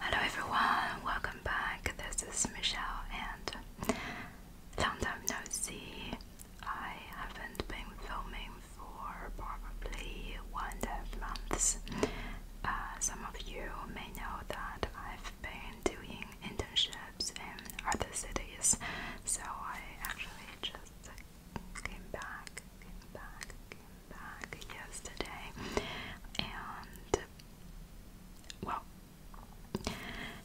Hello everyone, welcome back. This is Michelle and long time no see. I haven't been filming for probably one and a half months. Uh, some of you may know that I've been doing internships in other cities, so I actually just came back, yesterday, and well,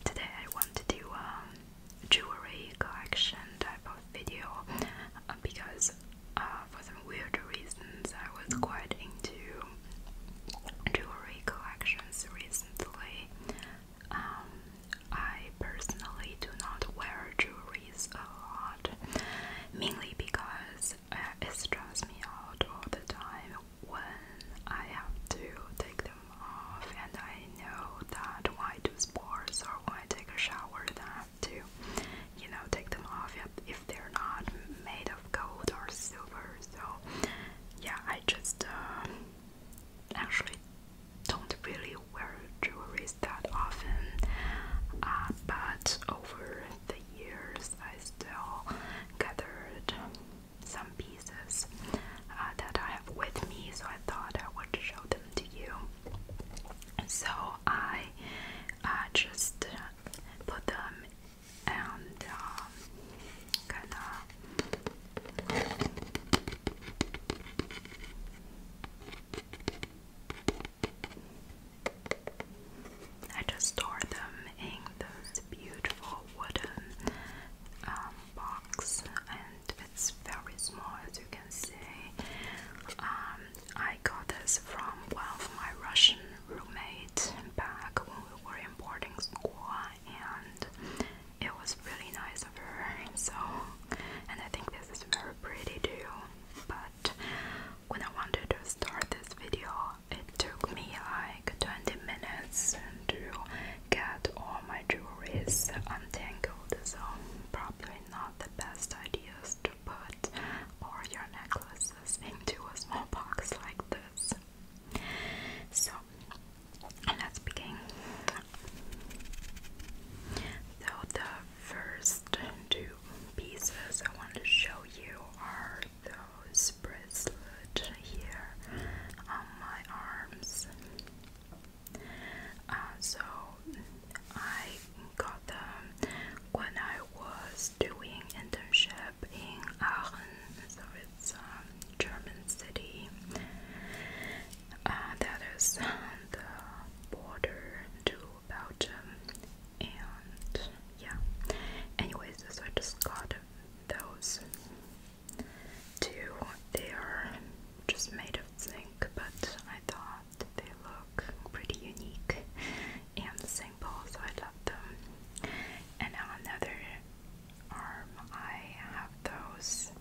today I want to do a jewelry collection type of video uh, because uh, for some weird reasons I was quite into jewelry collections recently. Um, I personally do not wear jewelry a lot, mainly because uh, it stresses me out all the time when I have to take them off, and I know that when I do sports or when I take a shower, then I have to, you know, take them off if they're not made of gold or silver. So, yeah, I just um, actually don't really wear jewelry that often, uh, but over the years, I still gathered some pieces uh, that I have with me, so I thought I would show them to you. So I uh, just put them and um, kind I just store them in those beautiful wooden um, box, and it's very small, as you can see. Um, I got this from one of my Russian roommates back when we were in boarding school, and it was really nice of her. So, and I think this is very pretty too. But when I wanted to start this video, it took me like 20 minutes to get all my jewelries untangled, so probably not the best ideas to put all your necklaces into a small box like this. So let's begin. So the first two pieces I want to show you are those bracelets here on my arms. Uh, so I got them when I was doing internship in Aachen, so it's a um, German city uh, that is on the border to Belgium, and yeah. Anyways, so I just got those two. They are just made of zinc, but I thought they look pretty unique and simple, so I love them. And now another arm, I have those.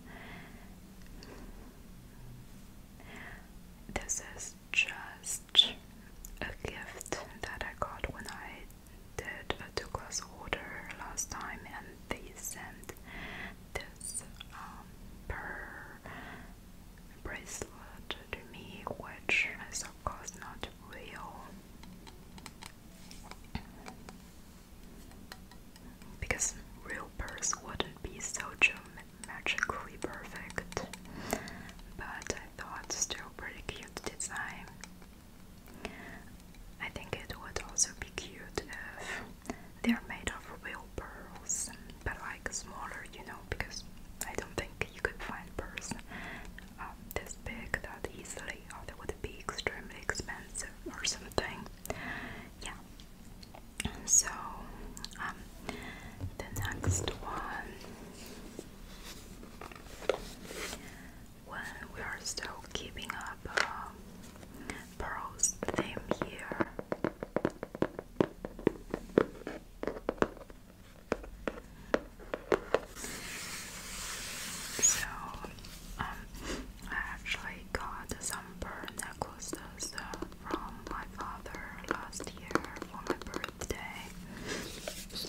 This is just a gift that I got when I did a two class order last time, and they sent this um, pearl bracelet to me, which is of course not real. Because real pearls wouldn't be so magically perfect, but I still pretty cute design. I think it would also be cute if they're made of real pearls, but like smaller, you know, because I don't think you could find pearls um, this big that easily, or they would be extremely expensive or something. Yeah. So, um, the next one when we are still keeping up um, Pearl's theme here. So, um, I actually got some pearl necklaces uh, from my father last year for my birthday. So,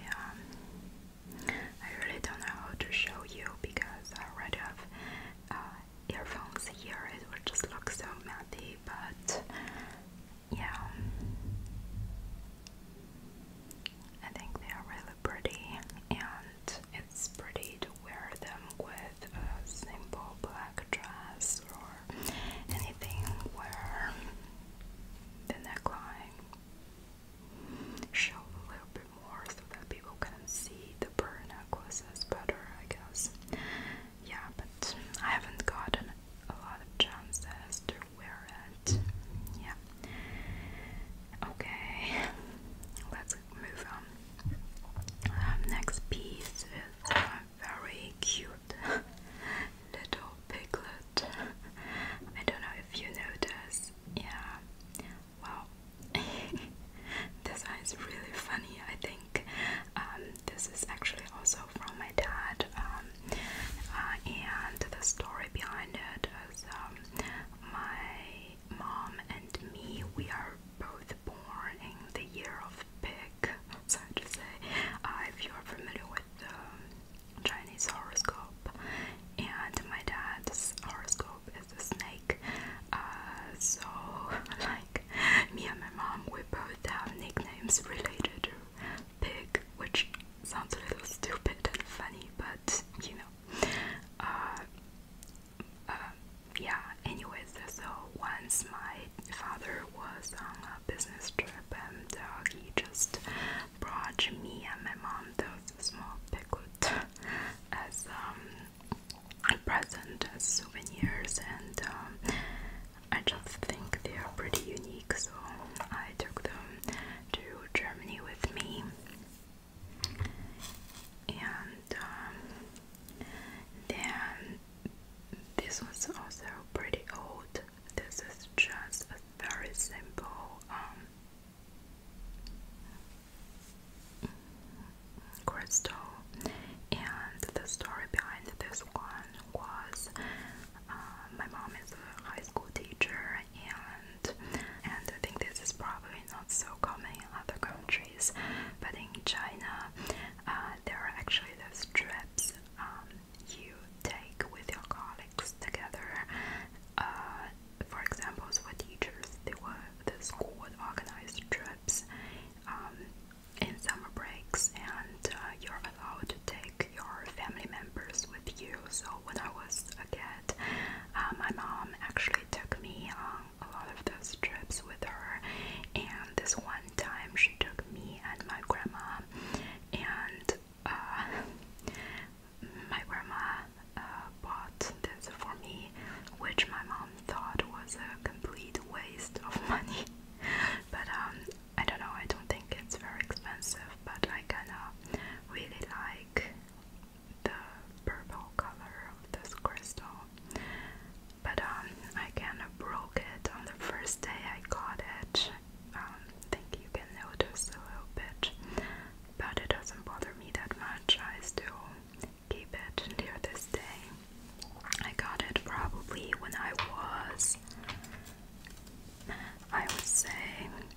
yeah, I really don't know how to show you because I already have uh, earphones here, it would just look so messy, but yeah. I think they are really pretty, and it's pretty to wear them with a simple black dress or anything where the neckline shows a little bit more so that people can see the pearl necklaces better, I guess. Yeah, but I haven't gotten a lot of chances to wear it. Yeah. Okay, let's move on. Um, next piece is a very cute little piglet. I don't know if you notice. Yeah. Wow. this one is really funny. I think um, this is actually also from my dad. Um, uh, and the story behind it is um, my mom and me, we are both born in the year of pig, so to say. Uh, if you are familiar with the Chinese horoscope, and my dad's horoscope is the snake, uh, so like me and my mom, we both have nicknames related to pig, which sounds a little stupid and funny, but you know. Uh, uh, yeah, anyways, so once my father was on a business trip and uh, he just brought me and my mom those small piglet as um, present, as souvenirs, and um, I just think they are pretty unique, so I took them to Germany with me, and um, then this was also pretty old. This is just a very simple um, crystal, and the story behind this one was um, my mom is a high school teacher, and and I think this is probably not so common in other countries, but in China, uh, there are actually those trips um, you take with your colleagues together. Uh, for example, for teachers, they uh, were the school would organize trips um, in summer breaks, and uh, you're allowed to take your family members with you. So when I was a kid, uh, my mom actually took me on a lot of those trips with her. And this one time, she took me and my grandma, and uh, my grandma uh, bought this for me, which my mom thought was a complete waste of money. but um, I don't know. I don't think it's very expensive, but I kind of really like the purple color of this crystal. But um, I kind of broke it on the first day I got it. Um, think you can notice a little bit, but it doesn't bother me that much. I still keep it near this day. I got it probably when I was I would say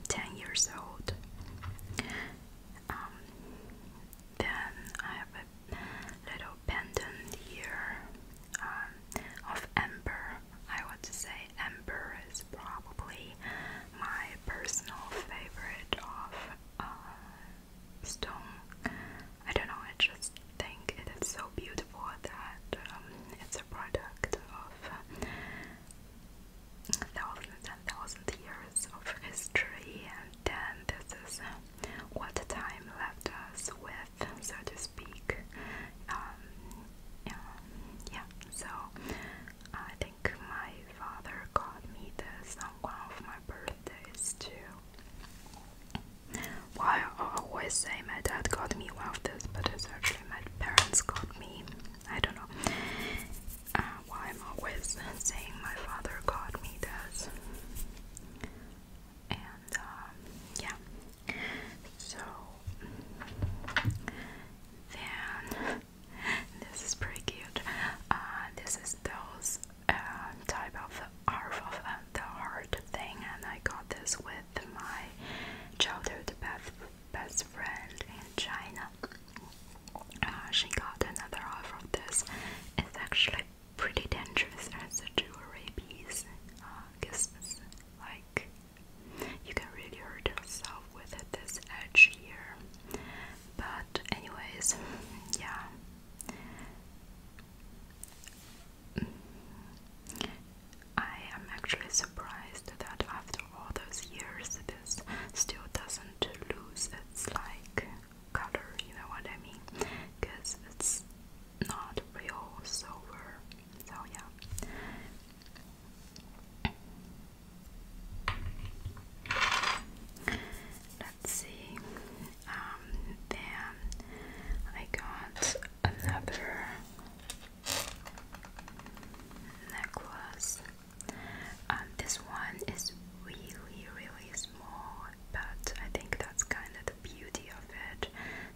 10 years old. Um, then I have a little pendant here um, of amber. I would say amber is probably my personal favorite of uh, stone. I don't know, I just think it is so beautiful that um, it's a product of thousands and thousands years of history, and then this is what time left us with, so to speak. Um, yeah, so I think my father got me this on one of my birthdays too. Why I always say my dad got me one of this, but actually my parents got me I don't know uh, why I'm always saying my father got me this. And um, yeah, so then this is pretty cute. Uh, this is those um, type of arf of uh, the heart thing, and I got this with my childhood bath best friend in China. Uh, she got another offer this. It's actually pretty dangerous as jewelry piece. Because uh, like you can really hurt yourself with this edge here. But anyways, yeah. I am actually surprised that after all those years, this still doesn't lose its like color, you know what I mean? Because it's not real silver, so yeah. Let's see. Um, then I got another necklace. Um, this one is really, really small, but I think that's kind of the beauty of it.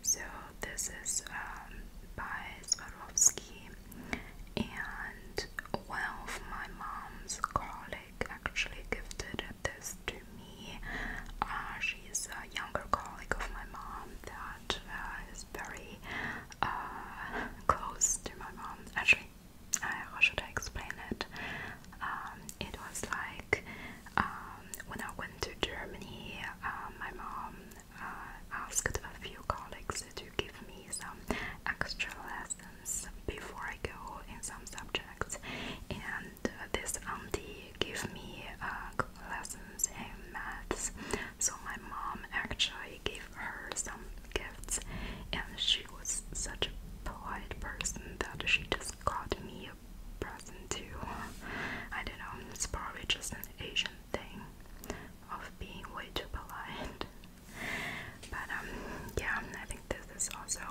So this is um, by Swarovski, and one of my mom's colleague actually gifted this to me. Uh, she's a younger colleague of my mom that uh, is very uh, close to my mom. Actually, uh, should explain it? Um, it was like um, when I went to Germany, um, my mom uh, asked a few colleagues to give me some extra lessons before I go in some subjects, and this auntie gave me lessons in maths. So my mom actually I gave her some gifts, and she was such a polite person that she just got me a present too. I don't know, it's probably just an Asian thing of being way too polite. But um, yeah, I think this is also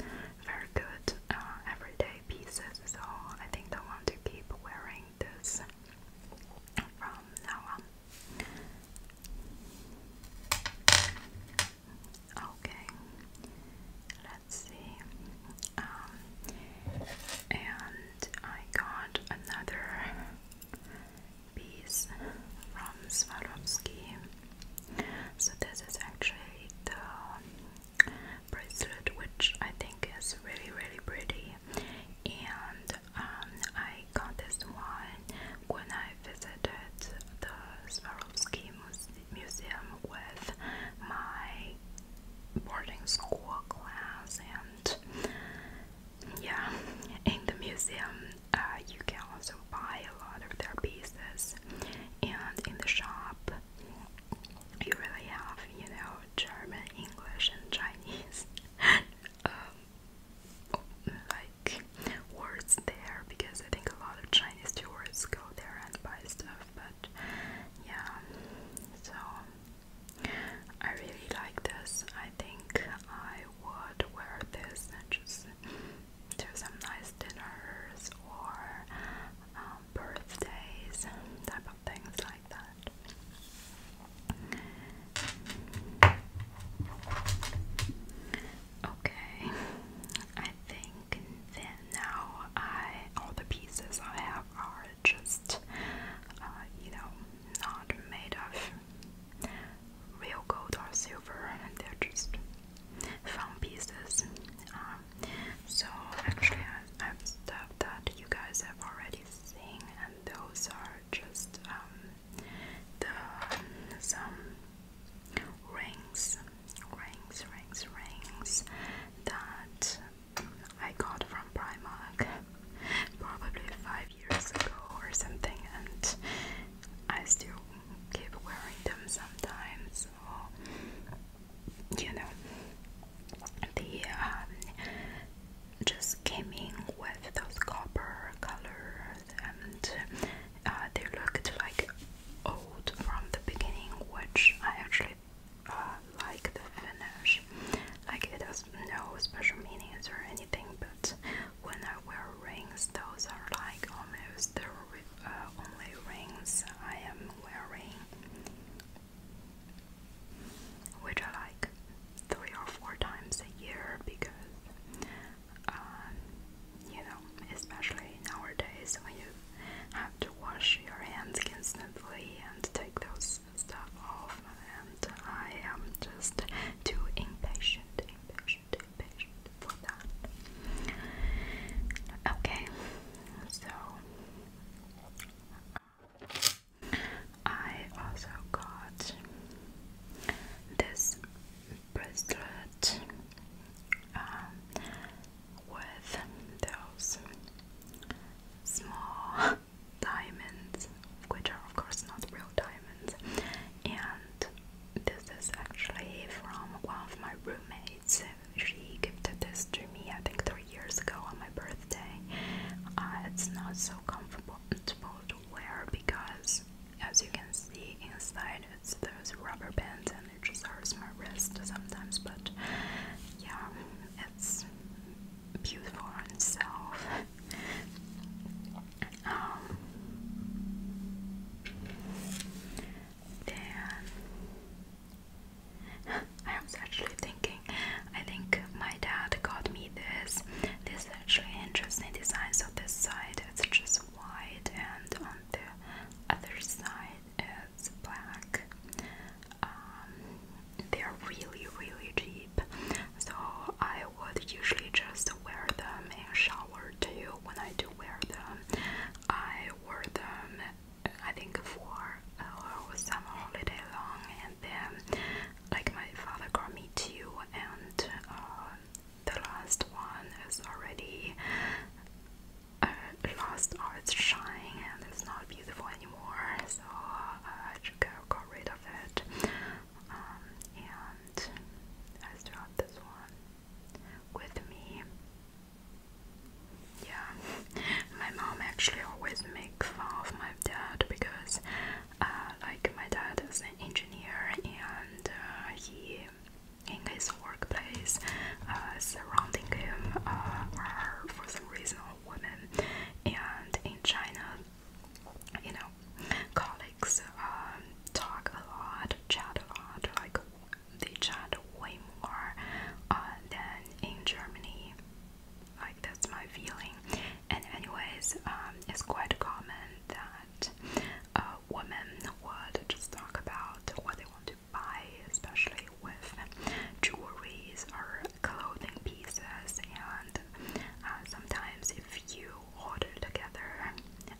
very good uh, everyday pieces, so I think I want to keep wearing this from now on. Okay, let's see. Um, and I got another piece from Swarovski. So, this is actually the bracelet, which I think is really, really pretty. And I got this one when I visited the Swarovski Museum with my boarding school class and yeah, in the museum uh, you can also buy a lot of their pieces and in the shop you really have, you know, German, English and Chinese um, like words there because I think a lot of Chinese tourists go there and buy stuff but yeah so I really like this I think I would wear this and just do some nice dinners or um, birthdays type of things like that Okay, I think then now I all the pieces I have are just uh, you know not made of real gold or silver, and they're just found pieces. Um, so actually, I have stuff that you guys have already seen, and those are just um, the some rings, rings, rings, rings that I got from Primark probably five years ago or something, and I still keep wearing them sometimes. Or, you know, the um, just came in with those copper colors and uh, they looked like old from the beginning which I actually uh, like the finish like it has no special meanings or anything but when I wear rings those are like almost the uh, only rings I am wearing which I like three or four times a year because, um, you know, especially nowadays when you have to wash your hands constantly and take those stuff off, and I am just too impatient, impatient, impatient for that. Okay, so. I also got this bracelet um, with those small diamonds, which are, of course, not real diamonds. And this is actually from one of my roommates. She gifted this to me, I think, three years ago on my birthday. Uh, it's not so comfortable to wear because as you can see inside it's those rubber bands and it just hurts my wrist sometimes but yeah it's beautiful on itself um, I was actually thinking I think my dad got me this. This is actually interesting design. So this side it's just white, and on the other side it's black. Um, they're really, really cheap. So I would usually just wear them in shower too. When I do wear them, I wore them. I think for uh, summer holiday long, and then like my father got me two, and um, the last one is already uh, its shining and it's not beautiful anymore. So uh, I just got, rid of it, um, and I still this one with me. Yeah, my mom actually always makes fun of my dad because uh, like my dad is an engineer and uh, he in his workplace uh, surrounding him are for some reason all women and in China you know colleagues um, talk a lot chat a lot like they chat way more than in Germany like that's my feeling and anyways, um, it's quite common that uh, women would just talk about what they want to buy, especially with jewelry or clothing pieces. And uh, sometimes, if you order together,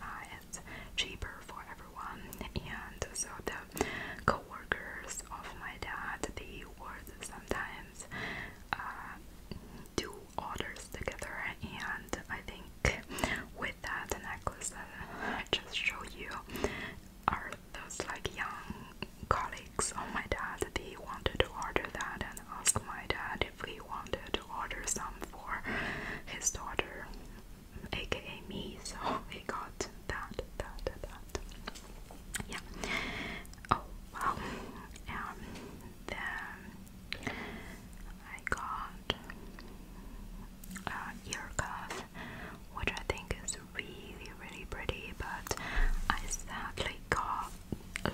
uh, it's cheaper for everyone. And so the coworkers of my dad, they would sometimes. Uh, two orders together, and I think with that necklace that I just showed you are those like young colleagues of oh, my dad. They wanted to order that and ask my dad if he wanted to order some for his daughter, aka me. So he got that, that, that. Yeah. Oh wow. Um. Then I got uh, ear cuff, which I think is really really pretty, but I sadly got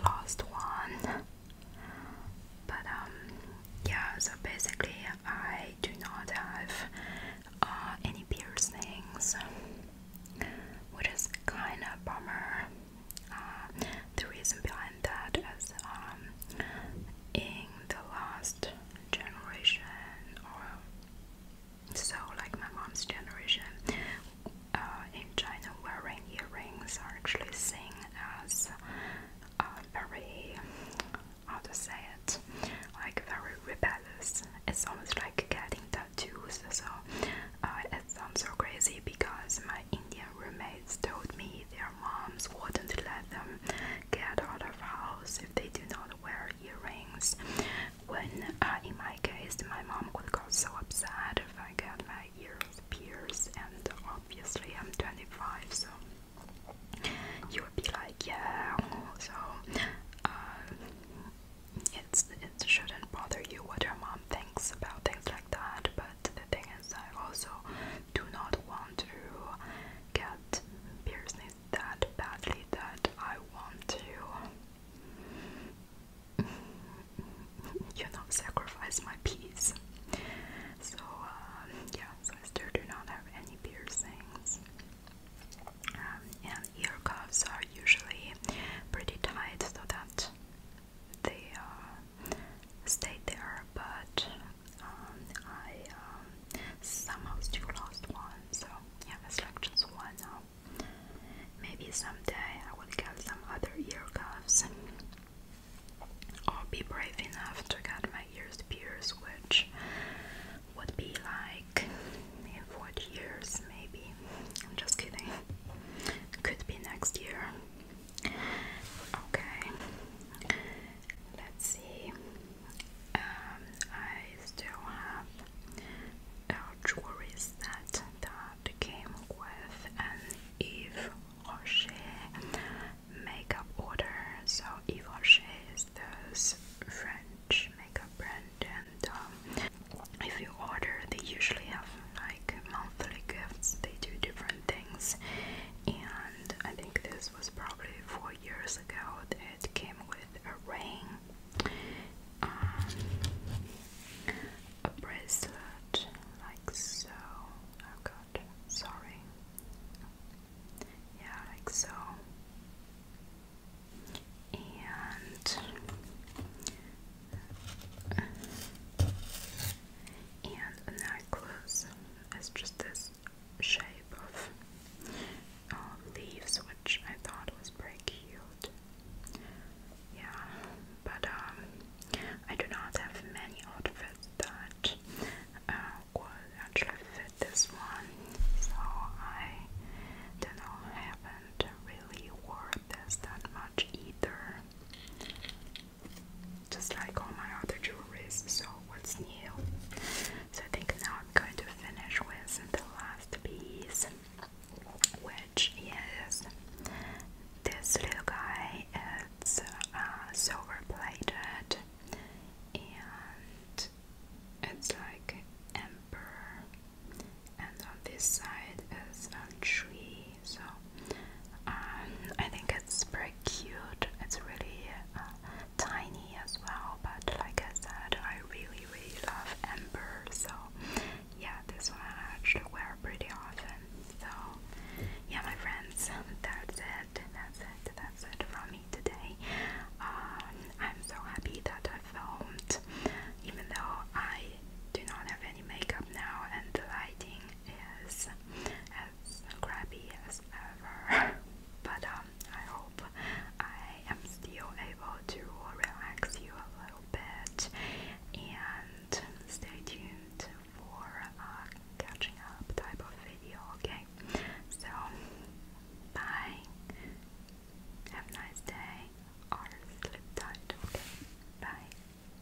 lost one. But um, yeah. So basically, I do not have uh, any piercings, which is kind of bummer. Uh, the reason behind that is um, in the last generation or so, like my mom's generation, uh, in China, wearing earrings are actually seen as uh, very, how to say it, like very rebellious. It's almost like getting tattoos. So uh, it sounds so crazy because my my Indian roommates told me their moms wouldn't let them get out of house if they do not wear earrings. When uh, in my case, my mom would got so upset if I got my ears pierced, and obviously I'm 25, so you would be like, yeah. So uh, it's it shouldn't bother you what your mom thinks about things like that, but the thing is, I also do not want to get piercings that badly that I want to, you know, sacrifice my peace. So, um, yeah, I still do not have any piercings. Um, and ear cuffs are usually pretty tight so that they uh, stayed there, but um, I um, somehow still lost one. So yeah, it's like just one now. Maybe someday I will get some other ear cuffs, or be brave enough to get my ears pierced, which would be like in 40 years, maybe. I'm just kidding. Could be next year. Okay, let's see. Um, I still have uh, jewelries that that came with an Eve Rocher makeup order. So Eve Rocher is this French makeup brand, and um, if you order, they usually have like monthly gifts. They do different and things. And I think this was probably four years ago. It came with a ring, um, a bracelet, like so. Oh god, sorry. Yeah, like so. And and a necklace is just this shape of um, leaves, which I thought was pretty cute. Yeah, but um, I do not have many outfits that uh, would actually fit this one, so I don't haven't really worn this that much either just like all my other jewelry. So what's new? So I think now I'm going to finish with the last piece, which is this little guy. It's uh, silver plated and it's like amber. And on this side is a tree so um, I think it's pretty cute. It's really uh, tiny as well, but like I said, I really really love amber, so yeah, this one I actually wear pretty often. So yeah, my friends, that's it, that's it, that's it from me today. Um, I'm so happy that I filmed, even though I do not have any makeup now and the lighting is as crappy as ever. but um, I hope I am still able to relax you a little bit and stay tuned for a catching up type of video, okay? So, bye. Have a nice day or sleep tight, okay? Bye.